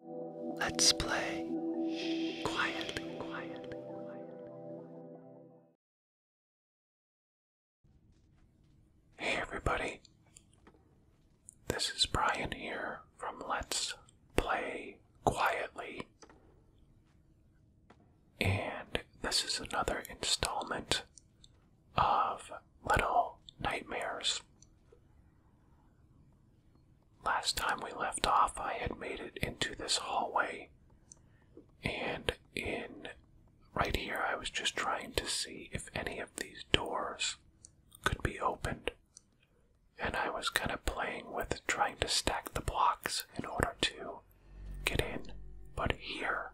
Let's play quietly, Hey everybody, this is Brian here from Let's Play Quietly. And this is another installment of Little Nightmares. Last time we left off, I had made it into this hallway, and in right here, I was just trying to see if any of these doors could be opened. And I was kind of playing with trying to stack the blocks in order to get in. But here,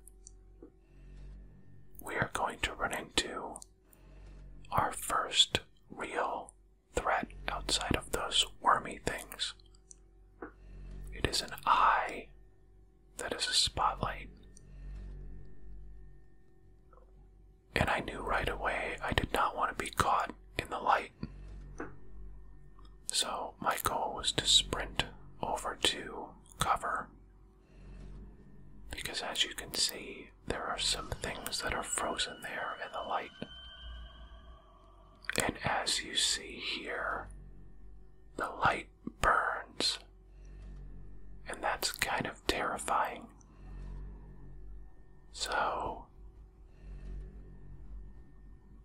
we are going to run into our first real threat outside of those wormy things. It is an eye that is a spotlight. And I knew right away I did not want to be caught in the light. So my goal was to sprint over to cover. Because as you can see, there are some things that are frozen there in the light. And as you see here, the light burns. And that's kind of terrifying. So,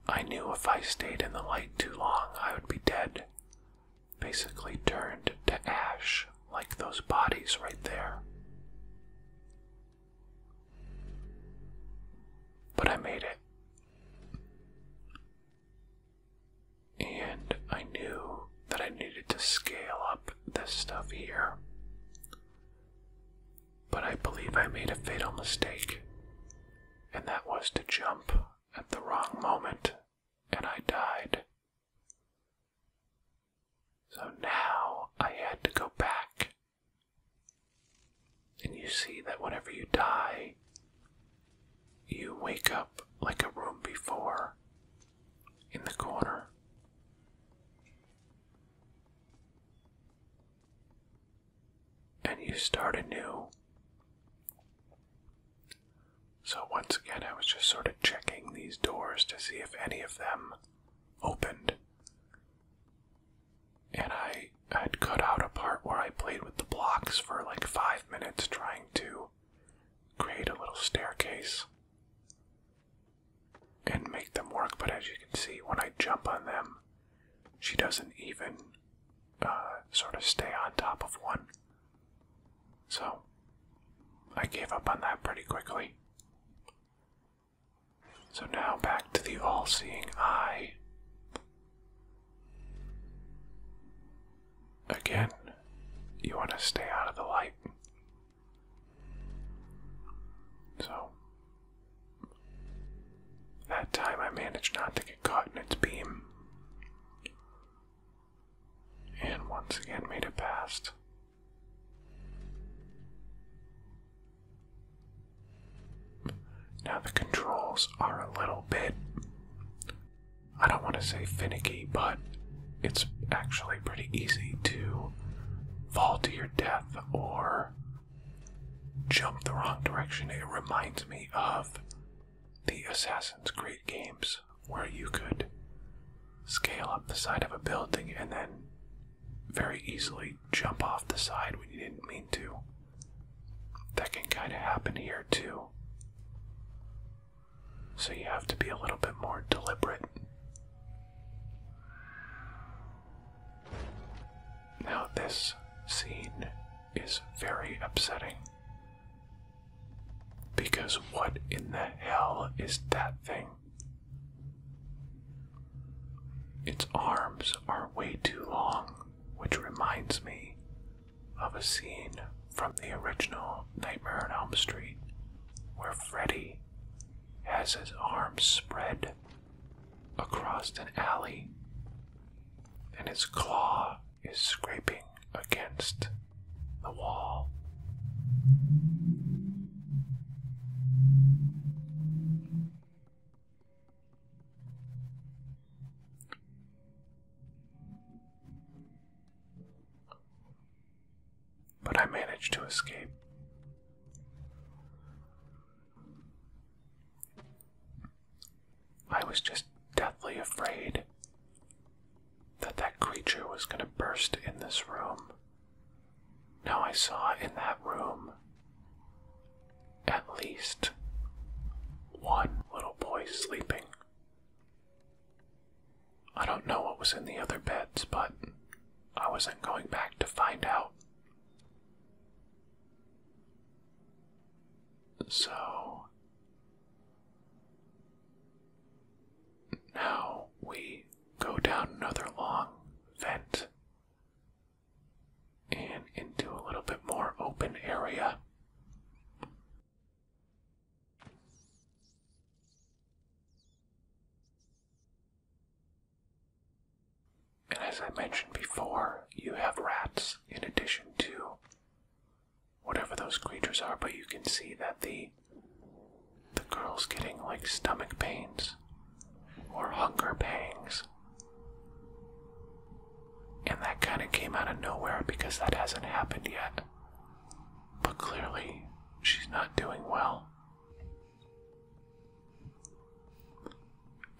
I knew if I stayed in the light too long, I would be dead. Basically, turned to ash like those bodies right there. But I made it. And I knew that I needed to scale up this stuff here. But I believe I made a fatal mistake, and that was to jump at the wrong moment, and I died. So now I had to go back. And you see that whenever you die, you wake up like a room before in the corner. And you start anew. So, once again, I was just sort of checking these doors to see if any of them opened. And I had cut out a part where I played with the blocks for like five minutes trying to create a little staircase and make them work. But as you can see, when I jump on them, she doesn't even uh, sort of stay on top of one. So, I gave up on that pretty quickly. So now back to the all seeing eye. Again, you want to stay out of the light. So, that time I managed not to get caught in its beam. And once again made it past. Now, the controls are a little bit. I don't want to say finicky, but it's actually pretty easy to fall to your death or jump the wrong direction. It reminds me of the Assassin's Creed games where you could scale up the side of a building and then very easily jump off the side when you didn't mean to. That can kind of happen here too. So you have to be a little bit more deliberate. Now, this scene is very upsetting. Because what in the hell is that thing? Its arms are way too long, which reminds me of a scene from the original Nightmare on Elm Street where Freddy has his arms spread across an alley and his claw is scraping against the wall. But I managed to escape. I was just deathly afraid that that creature was going to burst in this room. Now I saw in that room at least one little boy sleeping. I don't know what was in the other beds, but I wasn't going back to find out. So now we go down another long vent and into a little bit more open area. And as I mentioned before, you have rats in addition to whatever those creatures are, but you can see that the the girl's getting like stomach pains or hunger pangs. And that kind of came out of nowhere because that hasn't happened yet. But clearly, she's not doing well.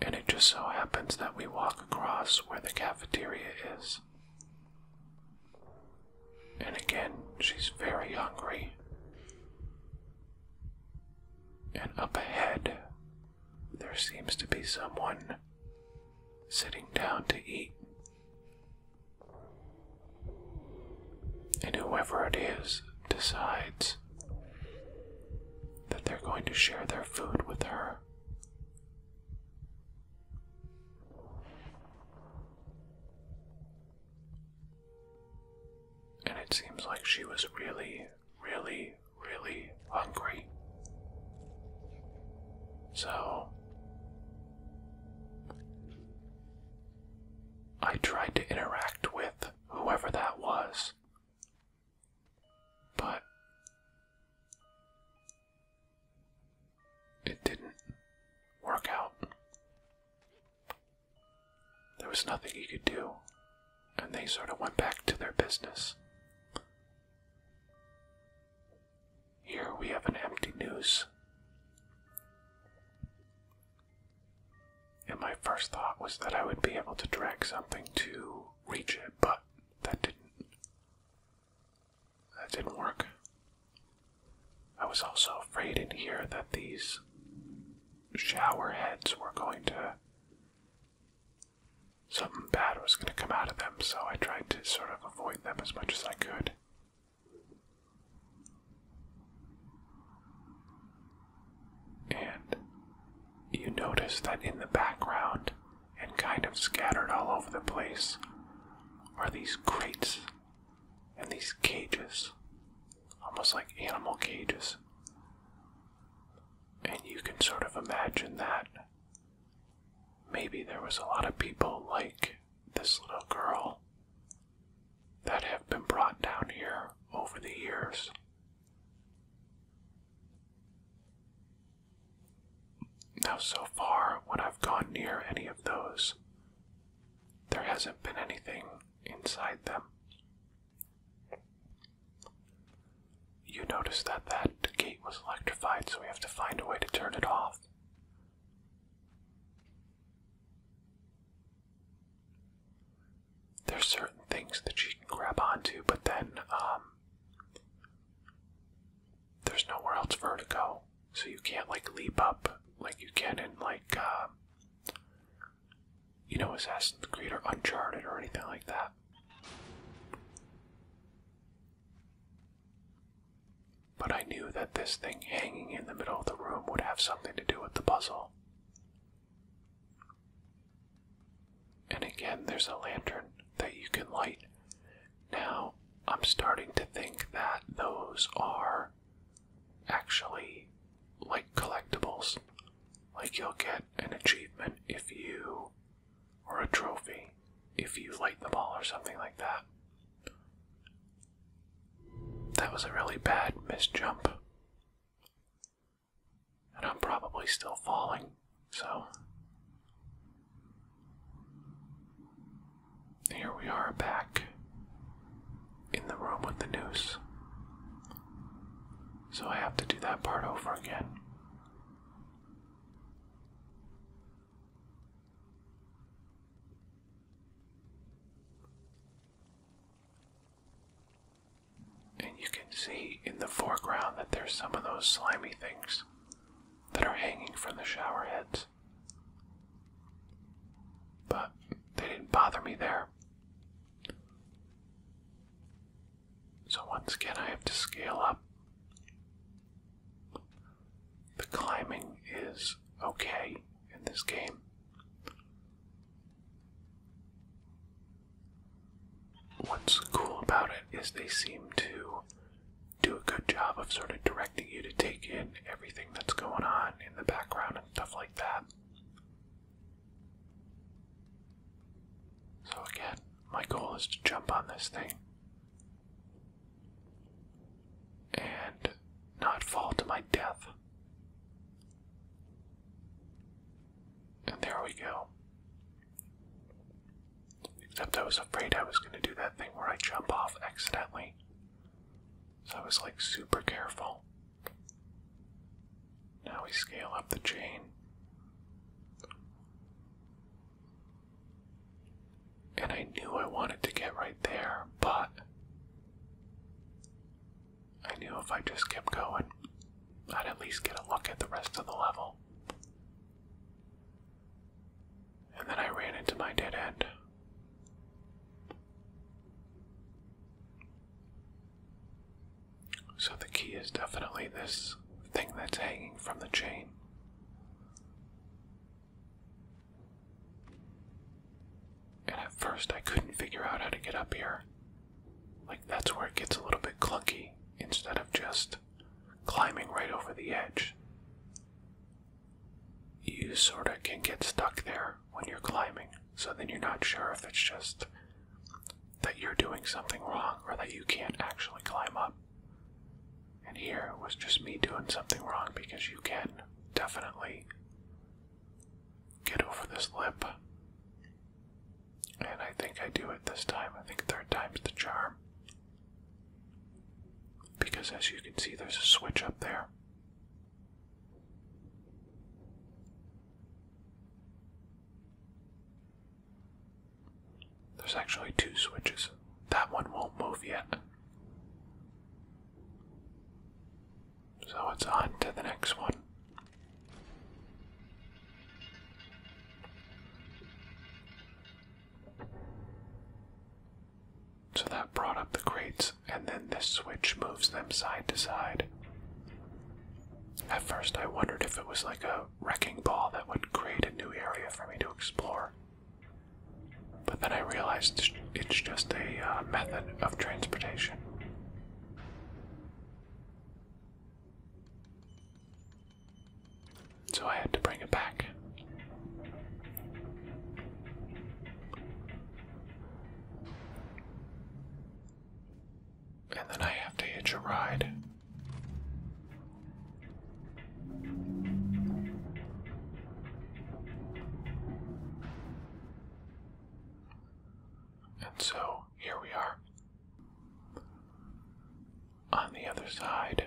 And it just so happens that we walk across where the cafeteria is. And again, she's very hungry. And up ahead, there seems to be someone sitting down to eat. And whoever it is decides that they're going to share their food with her. And it seems like she was really, really, really hungry. So, I tried to interact with whoever that was, but it didn't work out. There was nothing he could do, and they sort of went back to their business. Here we have an empty noose, And my first thought was that I would be able to drag something to reach it, but that didn't. That didn't work. I was also afraid in here that these shower heads were going to. Something bad was going to come out of them, so I tried to sort of avoid them as much as I could. And you notice that in the background, and kind of scattered all over the place are these crates and these cages, almost like animal cages. And you can sort of imagine that maybe there was a lot of people like this little girl that have been brought down here over the years. Now, so far, when I've gone near any of those, there hasn't been anything inside them. You notice that that gate was electrified, so we have to find a way to turn it off. There's certain things that you can grab onto, but then um, there's nowhere else for her to go. So you can't like leap up like you can in like um, you know Assassin's the or Uncharted or anything like that. But I knew that this thing hanging in the middle of the room would have something to do with the puzzle. And again, there's a lantern that you can light now, I'm starting to think that those are actually like collectibles. Like you'll get an achievement if you, or a trophy, if you light the ball or something like that. That was a really bad misjump. And I'm probably still falling. So here we are back in the room with the noose. So I have to do that part over again. And you can see in the foreground that there's some of those slimy things that are hanging from the shower heads. But they didn't bother me there. So once again, I have to scale up. The climbing is okay in this game. What's cool about it is they seem to do a good job of sort of directing you to take in everything that's going on in the background and stuff like that. So, again, my goal is to jump on this thing and not fall to my death. And there we go. Except I was afraid I was going to do that thing where I jump off accidentally. So I was like super careful. Now we scale up the chain. And I knew I wanted to get right there, but I knew if I just kept going, I'd at least get a look at the rest of the level. And then I ran into my dead end. So the key is definitely this thing that's hanging from the chain. And at first I couldn't figure out how to get up here. Like that's where it gets a little bit clunky instead of just climbing right over the edge. You sort of can get stuck there when you're climbing, so then you're not sure if it's just that you're doing something wrong or that you can't actually climb up. And here it was just me doing something wrong because you can definitely get over this lip. And I think I do it this time. I think third time's the charm. Because as you can see, there's a switch up there. There's actually two switches. That one won't move yet. So it's on to the next one. So that brought up the crates, and then this switch moves them side to side. At first, I wondered if it was like a wrecking ball that would create a new area for me to explore. But then I realized it's just a uh, method of transportation. So I had to bring it back. And then I have to hitch a ride. And so here we are on the other side.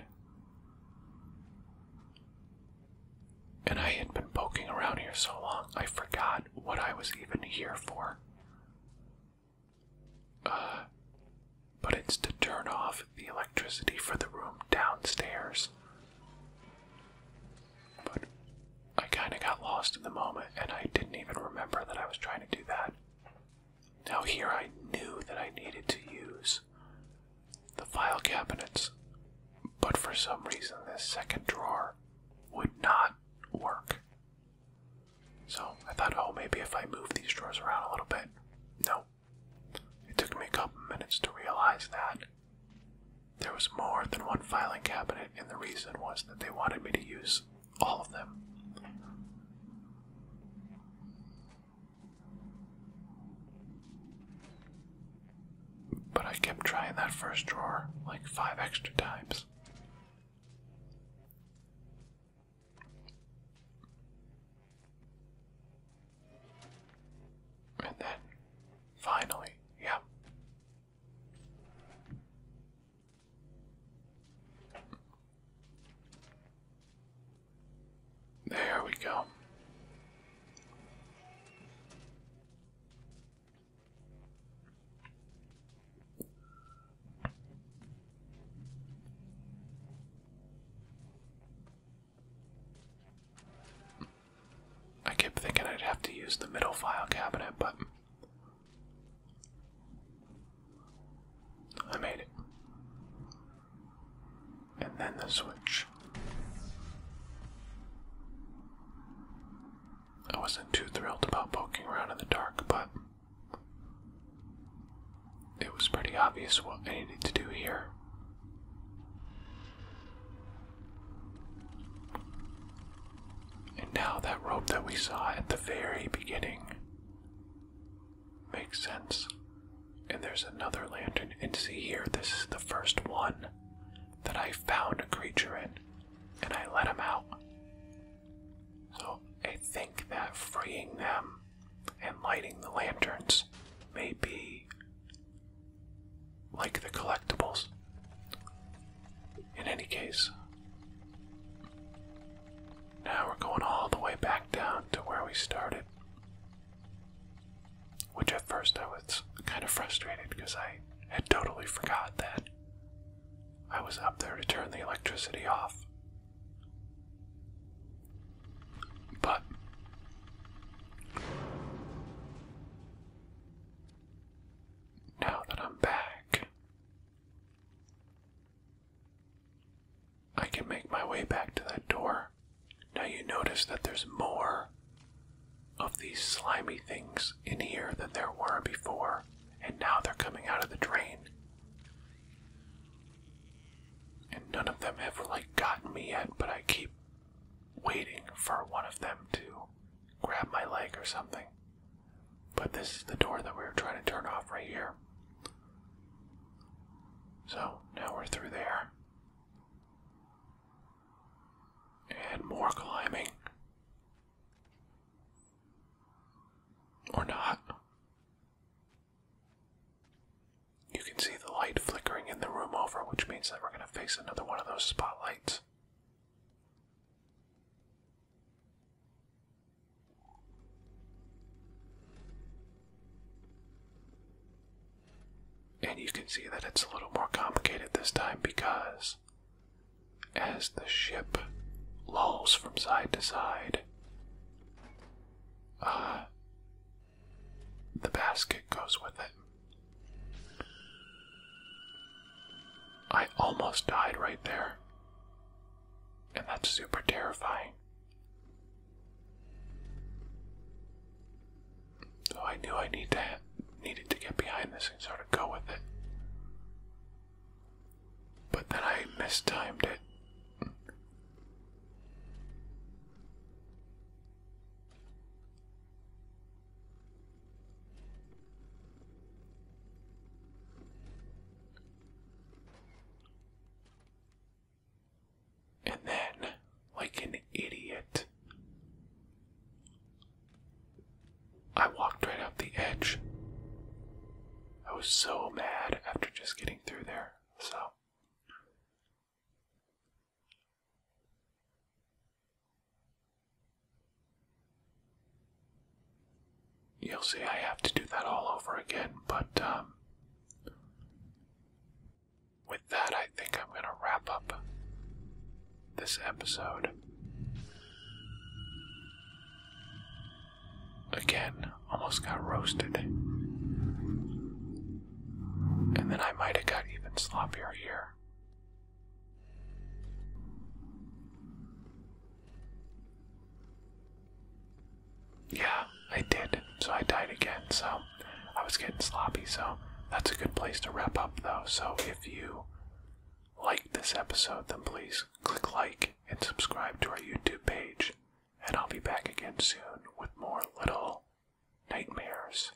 And I had been poking around here so long, I forgot what I was even here for. Uh, but it's to turn off the electricity for the room downstairs. But I kind of got lost in the moment and I didn't even remember that I was trying to do that. Now, here I knew that I needed to use the file cabinets, but for some reason, this second drawer would not work. So I thought, oh, maybe if I move these drawers around a little bit. No. It took me a couple minutes to realize that there was more than one filing cabinet, and the reason was that they wanted me to use all of them. But I kept trying that first drawer like five extra times. And then finally, yeah. There we go. I kept thinking I'd have to use the middle file cabinet, but I made it. And then the switch. I wasn't too thrilled about poking around in the dark, but it was pretty obvious what I needed to do here. And now that rope that we saw at the very beginning Makes sense. And there's another lantern. And see here, this is the first one that I found a creature in. And I let him out. So I think that freeing them and lighting the lanterns may be like the collectibles. In any case, now we're going all the way back down to where we started. Which at first I was kind of frustrated because I had totally forgot that I was up there to turn the electricity off. But now that I'm back, I can make my way back to that door. Now you notice that there's more of these slimy things in here than there were before, and now they're coming out of the drain. And none of them have like gotten me yet, but I keep waiting for one of them to grab my leg or something. But this is the door that we were trying to turn off right here. So now we're through there. And more climbing. Or not. You can see the light flickering in the room over, which means that we're going to face another one of those spotlights. And you can see that it's a little more complicated this time because as the ship lolls from side to side, uh, the basket goes with it. I almost died right there. And that's super terrifying. So oh, I knew I needed to get behind this and sort of go with it. But then I mistimed it. And then, like an idiot, I walked right up the edge. I was so mad after just getting through there, so. You'll see I have to do that all over again, but um, with that, I think I'm going to wrap up this episode. Again, almost got roasted. And then I might have got even sloppier here. Yeah, I did. So I died again. So I was getting sloppy. So that's a good place to wrap up, though. So if you liked this episode, then please click like and subscribe to our YouTube page. And I'll be back again soon with more little nightmares.